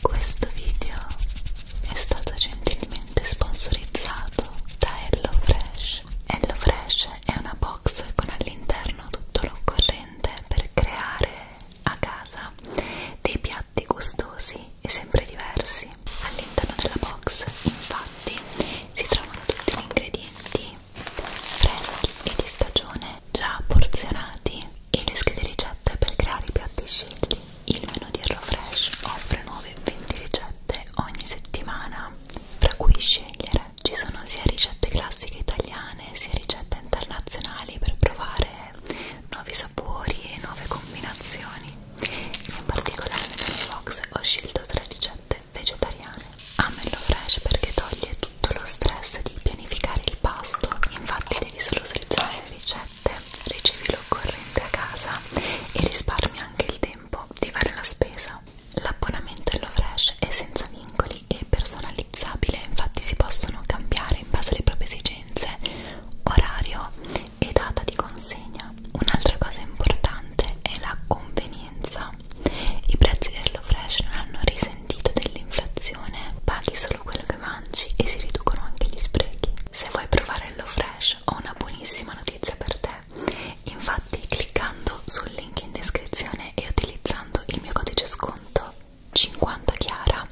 Questo video è stato gentilmente gentilmente sponsorizzato da HelloFresh. HelloFresh è una box con all'interno tutto l'occorrente per creare a casa dei piatti gustosi e sempre diversi. All'interno della box, infatti, si trovano tutti gli ingredienti freschi e di stagione già porzionati e le schede ricette per creare i piatti scegli. Il menu di HelloFresh offre nuove 20 ricette ricette ogni settimana fra cui scegliere. Ci sono sia ricette classiche italiane sia ricette internazionali per provare nuovi sapori e nuove combinazioni. In particolare nel box ho scelto tre ricette vegetariane. Amello fresh perché toglie tutto lo stress di pianificare il pasto, infatti devi solo selezionare le ricette, ricevi l'occorrente a casa e risparmi anche il tempo tempo di fare la spesa. L'abbonamento HelloFresh è senza vincoli e personalizzabile, infatti si possono cambiare in base alle proprie esigenze, orario e data di consegna. Un'altra cosa importante è la convenienza. I prezzi di HelloFresh non hanno risentito dell'inflazione, paghi solo quello che mangi e si riducono anche gli sprechi. Se vuoi provare HelloFresh ho una buonissima notizia per te, Infatti cliccando sul link in descrizione e utilizzando il mio codice sconto 50 Chiara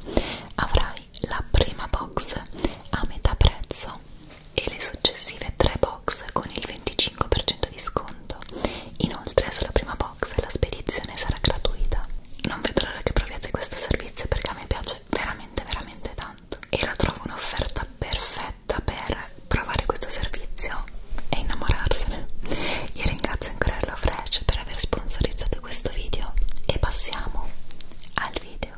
avrai la prima box a metà prezzo e le successive tre box con il 25% di sconto. Inoltre sulla prima box la spedizione sarà gratuita. Non vedo l'ora che proviate questo servizio perché a me piace veramente veramente tanto tanto e la trovo un'offerta perfetta per provare questo servizio e innamorarsene io ringrazio ancora HelloFresh per aver sponsorizzato questo video e passiamo al video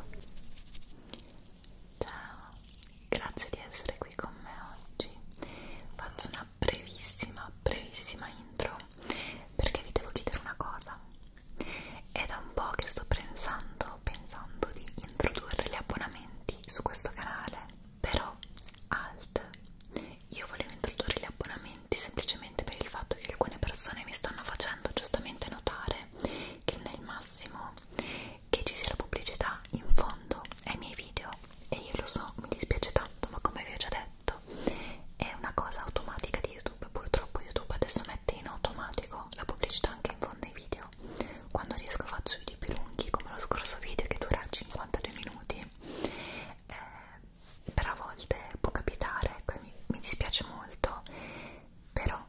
ciao grazie di essere qui con me oggi faccio una brevissima brevissima intro perché vi devo chiedere una cosa è da un po' che sto pensando sto pensando di introdurre gli abbonamenti su questo canale però alt io volevo introdurre gli abbonamenti semplicemente per il fatto che alcune persone mi stanno facendo giustamente notare che non è il massimo che ci sia la pubblicità in fondo ai miei video e io lo so mi dispiace tanto ma come vi ho già detto è una cosa automatica di youtube purtroppo youtube adesso mette in automatico la pubblicità anche mettere in fondo ai video quando riesco faccio video più lunghi come lo scorso video che dura 52 minuti eh, però a volte può capitare ecco, mi, mi dispiace molto però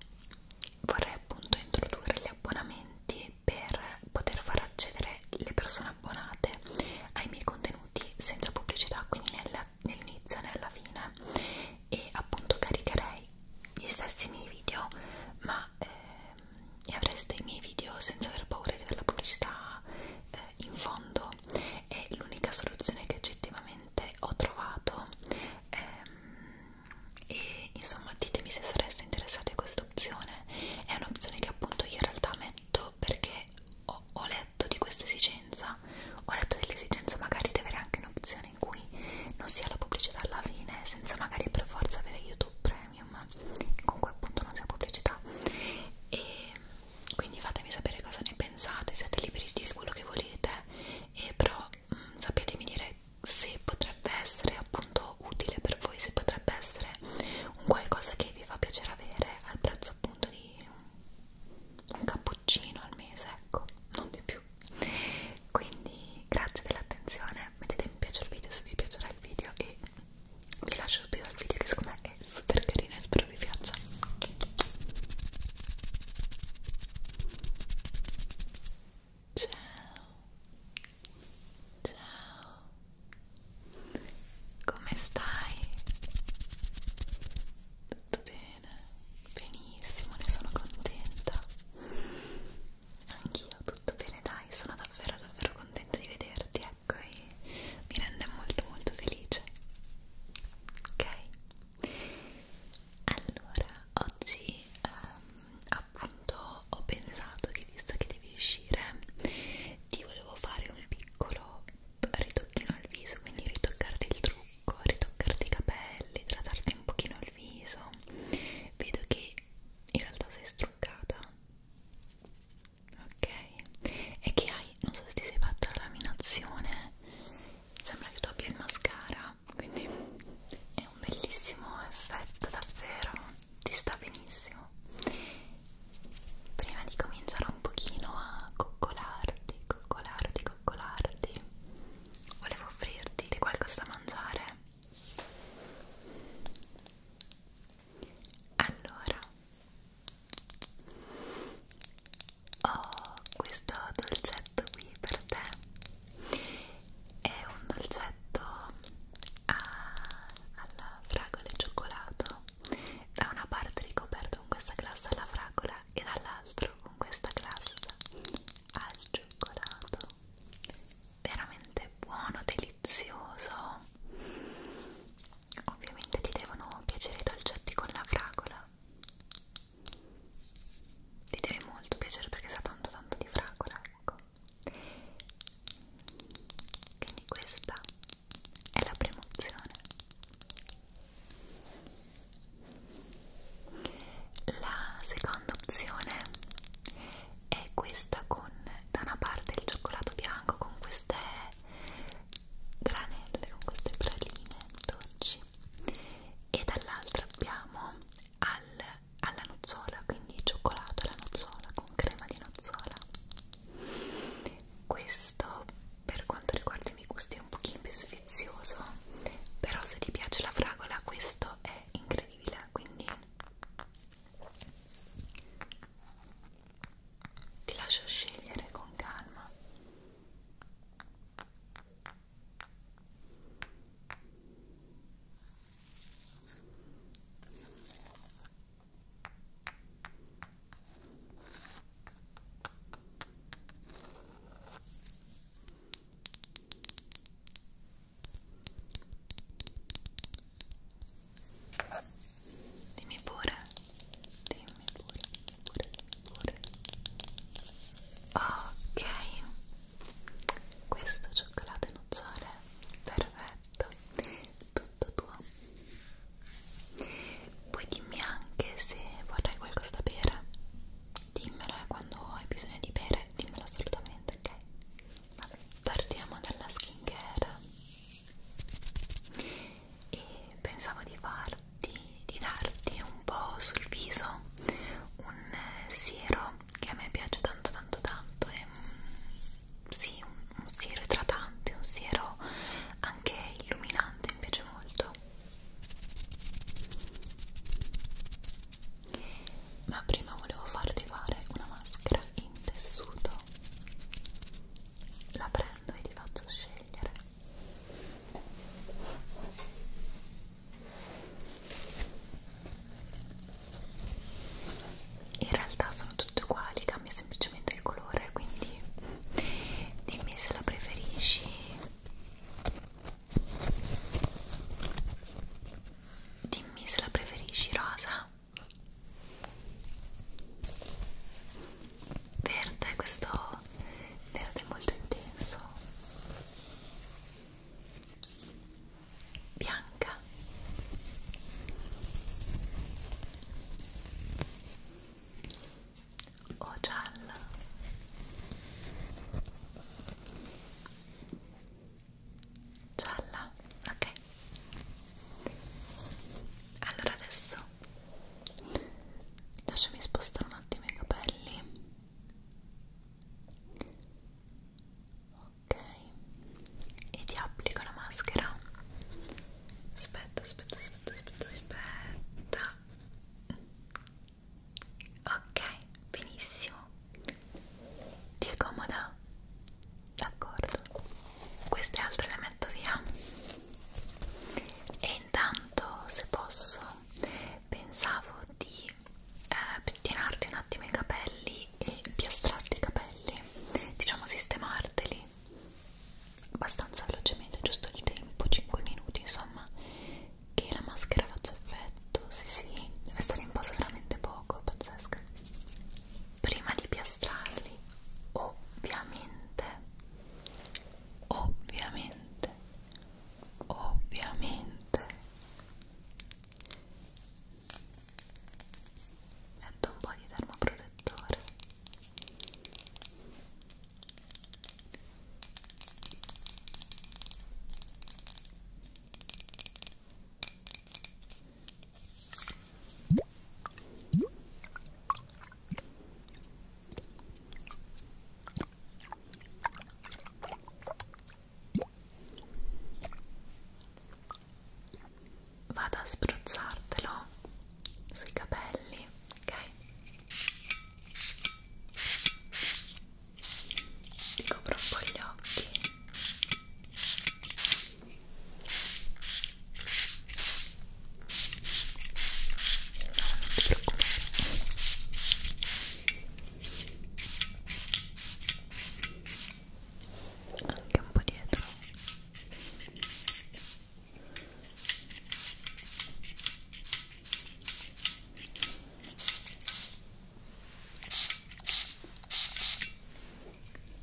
vorrei appunto introdurre gli abbonamenti per poter far accedere le persone abbonate ai miei contenuti senza pubblicità quindi nel, nell'inizio e nella fine e appunto caricherei gli stessi miei video ma eh, avreste i miei video senza aver paura di avere la pubblicità eh, in fondo e l'unica soluzione che oggettivamente ho trovato ehm, e insomma ditemi se sareste interessati a questa opzione è un'opzione che appunto io in realtà metto perché ho, ho letto di questa esigenza ho letto dell'esigenza magari di avere anche un'opzione in cui non sia la pubblicità alla fine senza magari per forza avere YouTube Premium comunque appunto non sia pubblicità e quindi fatemi sapere cosa ne pensate siete liberi di dire quello che volete e però mh, mm, sapetemi dire se potrebbe essere appunto utile per voi se potrebbe essere un qualcosa che vi fa piacere avere al prezzo appunto di un cappuccino al mese ecco non di più più quindi grazie dell'attenzione mettete mi piace il video se vi piacerà il video e vi lascio subito al video che secondo me è super carino e spero vi piaccia ciao ciao come stai? tutto bene? benissimo ne sono contenta Anch'io, tutto bene dai, sono davvero davvero contenta di vederti, ecco, e mi rende molto molto felice. Ok? Allora, oggi ehm, appunto ho pensato che visto che devi uscire, ti volevo fare un piccolo ritocchino al viso, quindi ritoccarti il trucco, ritoccarti i capelli, trattarti un pochino il viso. Vedo che in realtà sei struccata ok e che hai non so se ti sei fatta la laminazione sembra che tu abbia il mascara quindi è un bellissimo effetto davvero ti sta benissimo prima di cominciare un pochino a coccolarti coccolarti coccolarti volevo offrirti qualcosa da mangiare allora, ho questo dolcetto qui per te. È un dolcetto a, alla fragola e cioccolato. Da una parte ricoperto con questa glassa alla fragola e dall'altro con questa glassa al cioccolato veramente buono, delizioso ovviamente ti devono piacere i dolcetti con la fragola ti deve molto piacere perché sa tanto tanto di fragola ecco quindi questa è la prima opzione la seconda opzione è questa con da una parte il cioccolato bianco con queste granelle, con queste praline dolci e dall'altra abbiamo al, alla nozzola, quindi cioccolato alla nozzola con crema di nozzola. Questo per quanto riguarda i miei gusti è un pochino più sfizioso, però se ti piace la fragola questo è incredibile di là quindi ti lascio scegliere con calma Dimmi pure, dimmi pure, dimmi pure, dimmi pure. Ok, questo cioccolato e nocciole, perfetto, tutto tuo. Poi dimmi anche se vorrai qualcosa da bere. Dimmelo eh, quando hai bisogno di bere, dimmelo assolutamente, ok? Vabbè, partiamo dalla skincare e pensavo di farti, di darti un po' sul viso un eh, siero che a me piace tanto tanto tanto è mm, sì, un, un siero idratante, un siero anche illuminante, mi piace molto ma prima volevo farti fare una maschera in tessuto la prendo e ti faccio scegliere in realtà sono tutte uguali cambia semplicemente il colore quindi dimmi se la preferisci Dimmi se la preferisci rosa verde, questo verde molto intenso bianca o gialla gialla, ok allora adesso lasciami spostare un attimo i capelli ok e ti applico la maschera aspetta aspetta aspetta aspetta aspetta Ok, benissimo. Ti accomoda? D'accordo. Queste altre le metto via. E intanto, se posso, pensavo di eh, pettinarti un attimo i capelli e piastrarti i capelli, diciamo sistemarteli abbastanza velocemente, giusto il tempo, 5 minuti, insomma che la maschera faccia effetto, sì sì, deve stare in posa veramente poco, pazzesca. Prima di piastrarli, ovviamente, ovviamente, ovviamente, metto un po' di termoprotettore. Vado a spruzzartelo sui capelli, ok? ricopro un po' gli occhi no, non ti preoccupare anche un po' dietro ok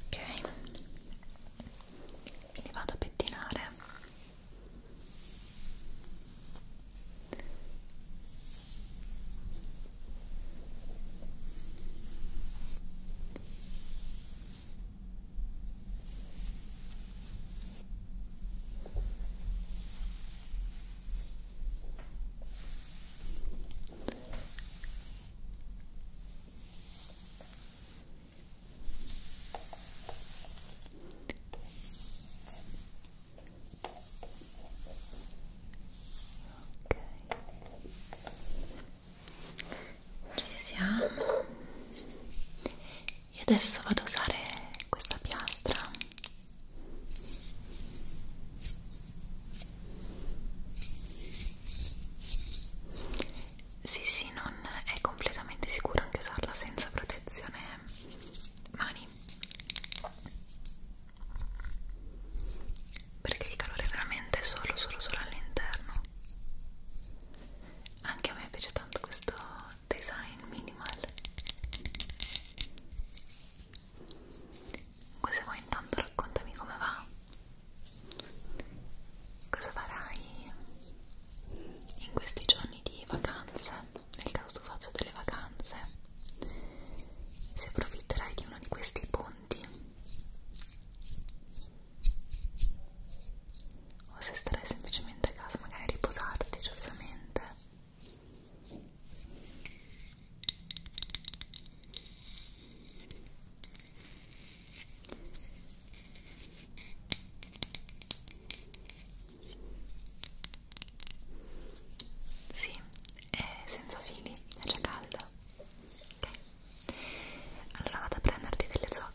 ok li vado a pettinare ok ci siamo e adesso vado a usare questa piastra sì, sì, non è completamente sicuro anche usarla senza protezione mani perché il calore è veramente solo, solo, solo all'interno. Anche a me piace tanto questo design minimal. Cosa vuoi intanto raccontami come va? Cosa farai in questi giorni di vacanze? Nel caso tu faccia delle vacanze, se approfitterai di uno di questi ponti o se starai semplicemente a casa magari a riposarti giustamente sì, è senza fili, è già calda. Ok, allora vado a prenderti delle zocche.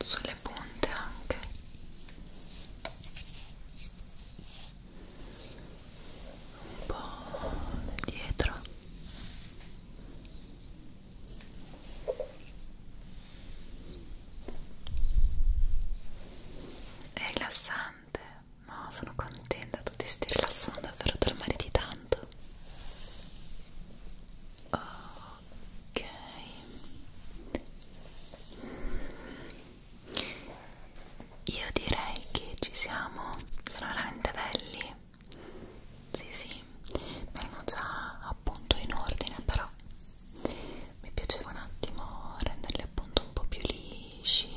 sulle punte anche un po' dietro è rilassante no sono contenta tu ti stai rilassando per dormire di tanto oh ok io direi che ci siamo sono veramente belli sì sì erano già appunto in ordine però mi piaceva un attimo renderli appunto un po' più lisci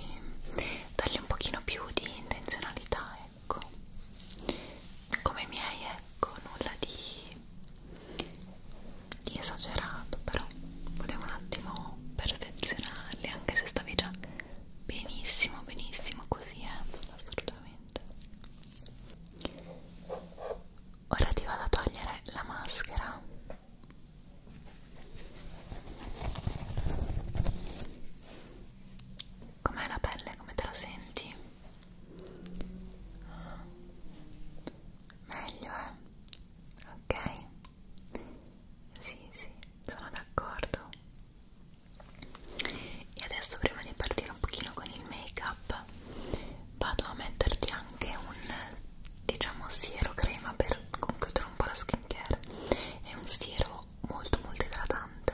dargli un pochino più di intenzionalità ecco come i miei ecco nulla di di esagerato però volevo un attimo perfezionarli anche se stavi già benissimo benissimo così eh assolutamente ora ti vado a togliere la maschera com'è la pelle come te la senti meglio eh ok sì sì sono d'accordo e adesso prima di partire un pochino con il make up vado a metterti anche un diciamo siero crema per concludere un po' la skincare è un siero molto molto idratante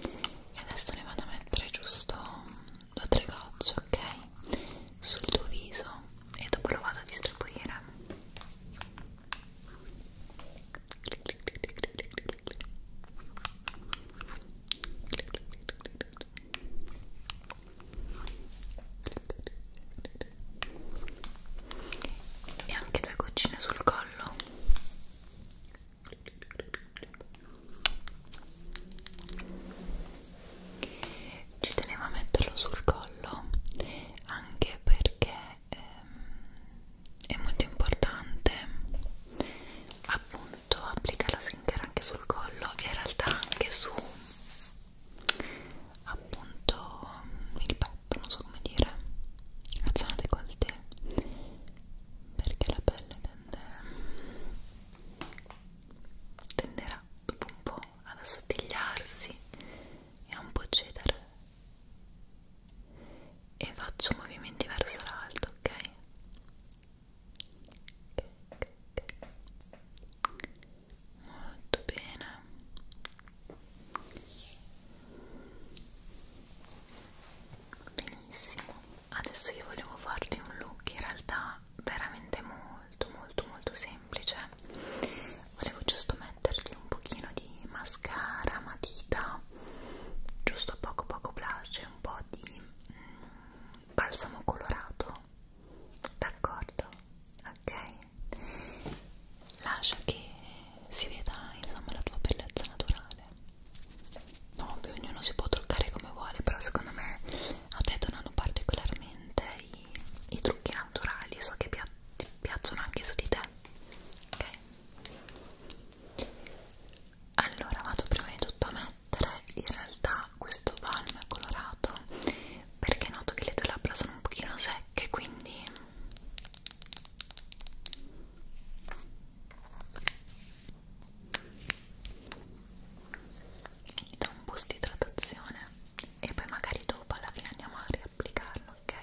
e adesso ne vado a mettere giusto due o tre gocce, ok? Sul tuo viso e dopo lo vado a distribuire. E anche due goccine sul collo ci tenevo a metterlo sul collo anche perché ehm, è molto importante appunto applicare la skincare anche sul collo e in realtà anche su appunto il pannello effetto, non so come dire, la zona décolleté perché la pelle tende, tenderà dopo un po' ad assottigliarsi e a un po' cedere e faccio movimenti verso l'alto, ok? Molto bene benissimo adesso io volevo farti un look in realtà veramente molto molto molto semplice volevo giusto metterti un pochino di mascara matita giusto poco poco blush e un po' di mm, balsamo colorato d'accordo ok lascia che si veda insomma la tua bellezza naturale no, poi ognuno si può truccare come vuole però secondo me a te donano particolarmente i, i trucchi naturali so che pia ti piacciono anche su di te ok allora vado prima di tutto a mettere in realtà questo balm colorato perché noto che le tue labbra sono un pochino secche quindi do un boost di idratazione e poi magari dopo alla fine andiamo a riapplicarlo, ok?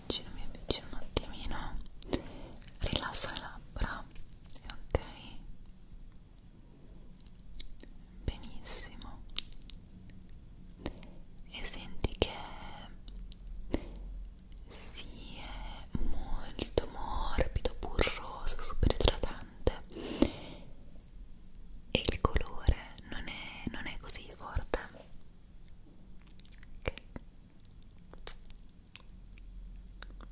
avvicino, mi avvicino un attimino rilasso le labbra ok benissimo e senti che si è molto morbido, burroso, super idratante e il colore non è, non è così forte ok ok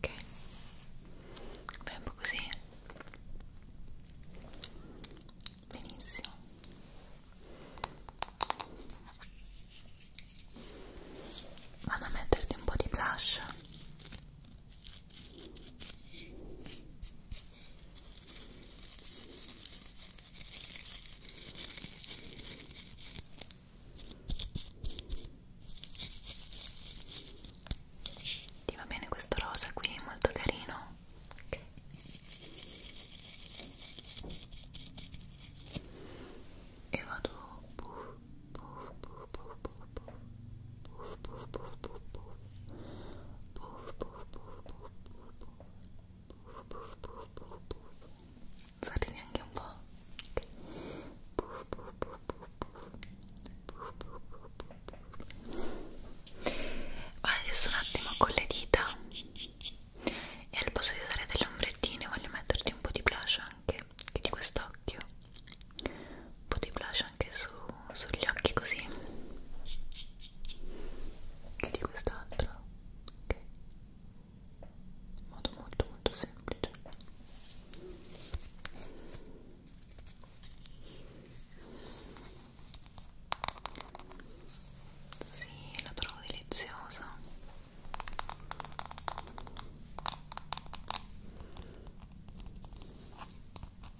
Beh, un po' così benissimo vado a metterti un po' di blush ti va bene questo rosa qui, molto carino. Okay. E vado puff, puff, puff, puff, puff. Sorridi anche un po'. Adesso un attimo con le dita e al posto di usare delle ombrettine voglio metterti un po' di blush anche, che di quest'occhio un po' di blush anche su, sugli occhi così che di quest'altro ok in modo molto molto semplice sì, lo trovo delizioso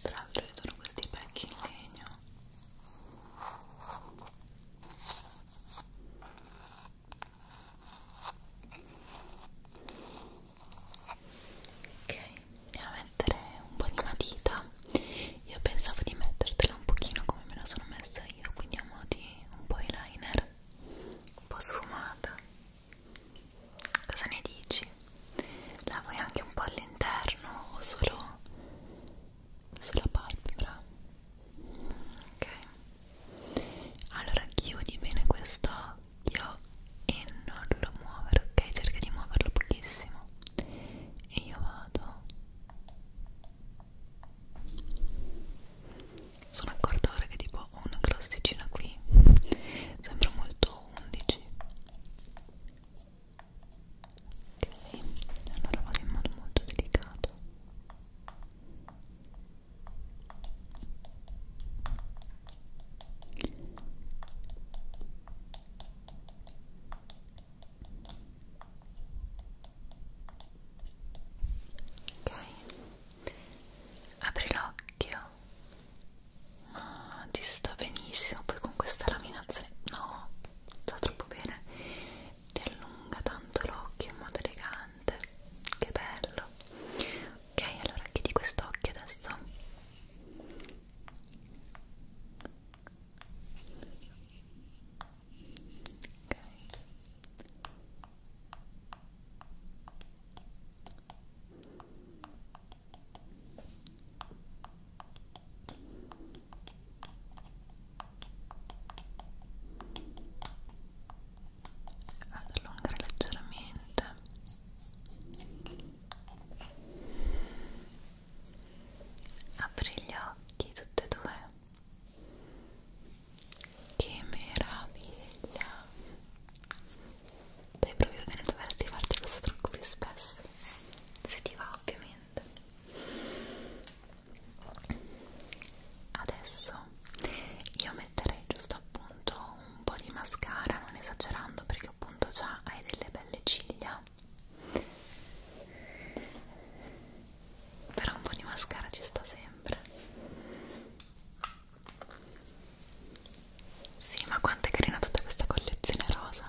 Tra l'altro vedono questi pacchi in legno ok andiamo a mettere un po' di matita io pensavo di mettertela un pochino come me la sono messa io quindi a modi un po' eyeliner un po' sfumata cosa ne dici? la vuoi anche un po' all'interno o solo sulla palpebra ok allora chiudi bene questo occhio e non lo muovere ok cerca di muoverlo pochissimo e io vado sono accorta ora che tipo ho una crosticina qui sembra molto 11 ok allora vado in modo molto delicato Ok, apri l'occhio, ma ti sta benissimo. Poi con questa laminazione, no, sta troppo bene ti allunga tanto l'occhio in modo elegante che bello ok allora chiudi quest'occhio adesso ok ok ad allungare leggermente apri gli occhi tutte e due che meraviglia dai proprio bene doverti farti questo trucco più spesso se ti va ovviamente adesso io metterei giusto appunto un po' di mascara non esagerando perché appunto già hai delle belle ciglia però un po' di mascara ci sta sempre sì ma quanto è carina tutta questa collezione rosa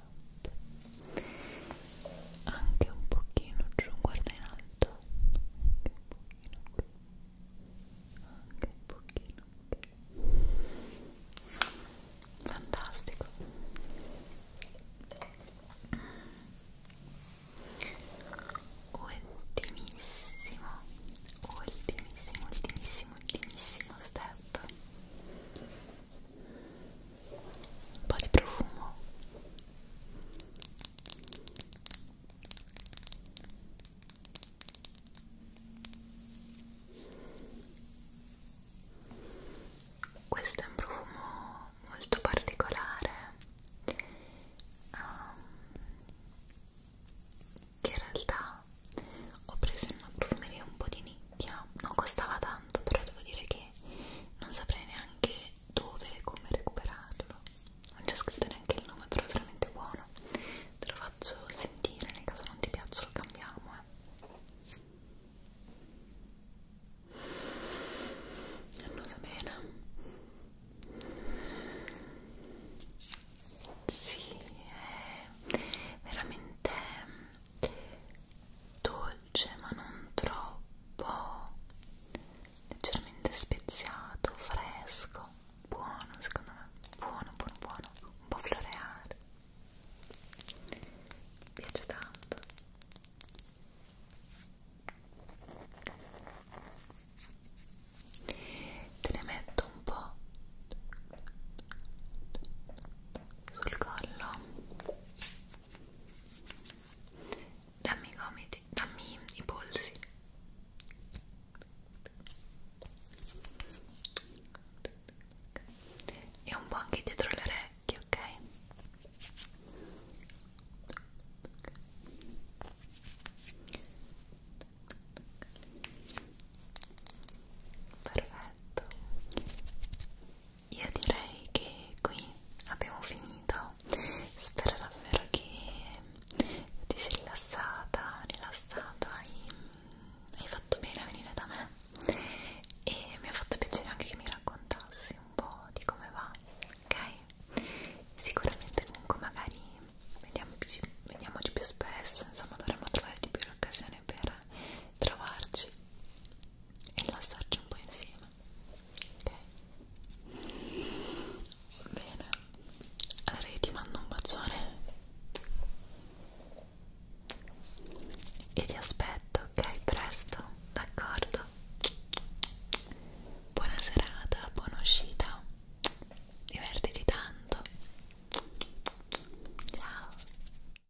up anche un pochino giù guarda in alto anche un pochino qui anche un pochino qui fantastico ultimissimo ultimissimo ultimissimo ultimissimo step un po' di profumo questo è un profumo molto particolare um, che in realtà ho preso in una profumeria un po' di nicchia yeah, non costava tanto però devo dire che non saprei neanche dove e come recuperarlo non c'è scritto neanche il nome però è veramente buono te lo faccio sentire nel caso non ti piaccia lo cambiamo eh. annusa bene sì è veramente dolce ma non troppo leggermente speziato, fresco, buono secondo me, buono, buono, buono, un po' floreale mi piace tanto te ne metto un po' sul collo Dammi i gomiti, dammi i polsi. E un po' anche dietro le orecchie, ok? Perfetto io direi che qui abbiamo finito spero davvero che ti sei rilassata rilassato hai, hai fatto bene a venire da me e mi ha fatto piacere anche che mi raccontassi un po' di come va ok sicuramente comunque magari vediamoci, vediamoci più spesso insomma dovremmo trovare di più l'occasione occasione per trovarci e rilassarci un po' insieme ok? bene allora io ti mando un bacione e ti aspetto ok? presto d'accordo? buona serata buona uscita divertiti tanto ciao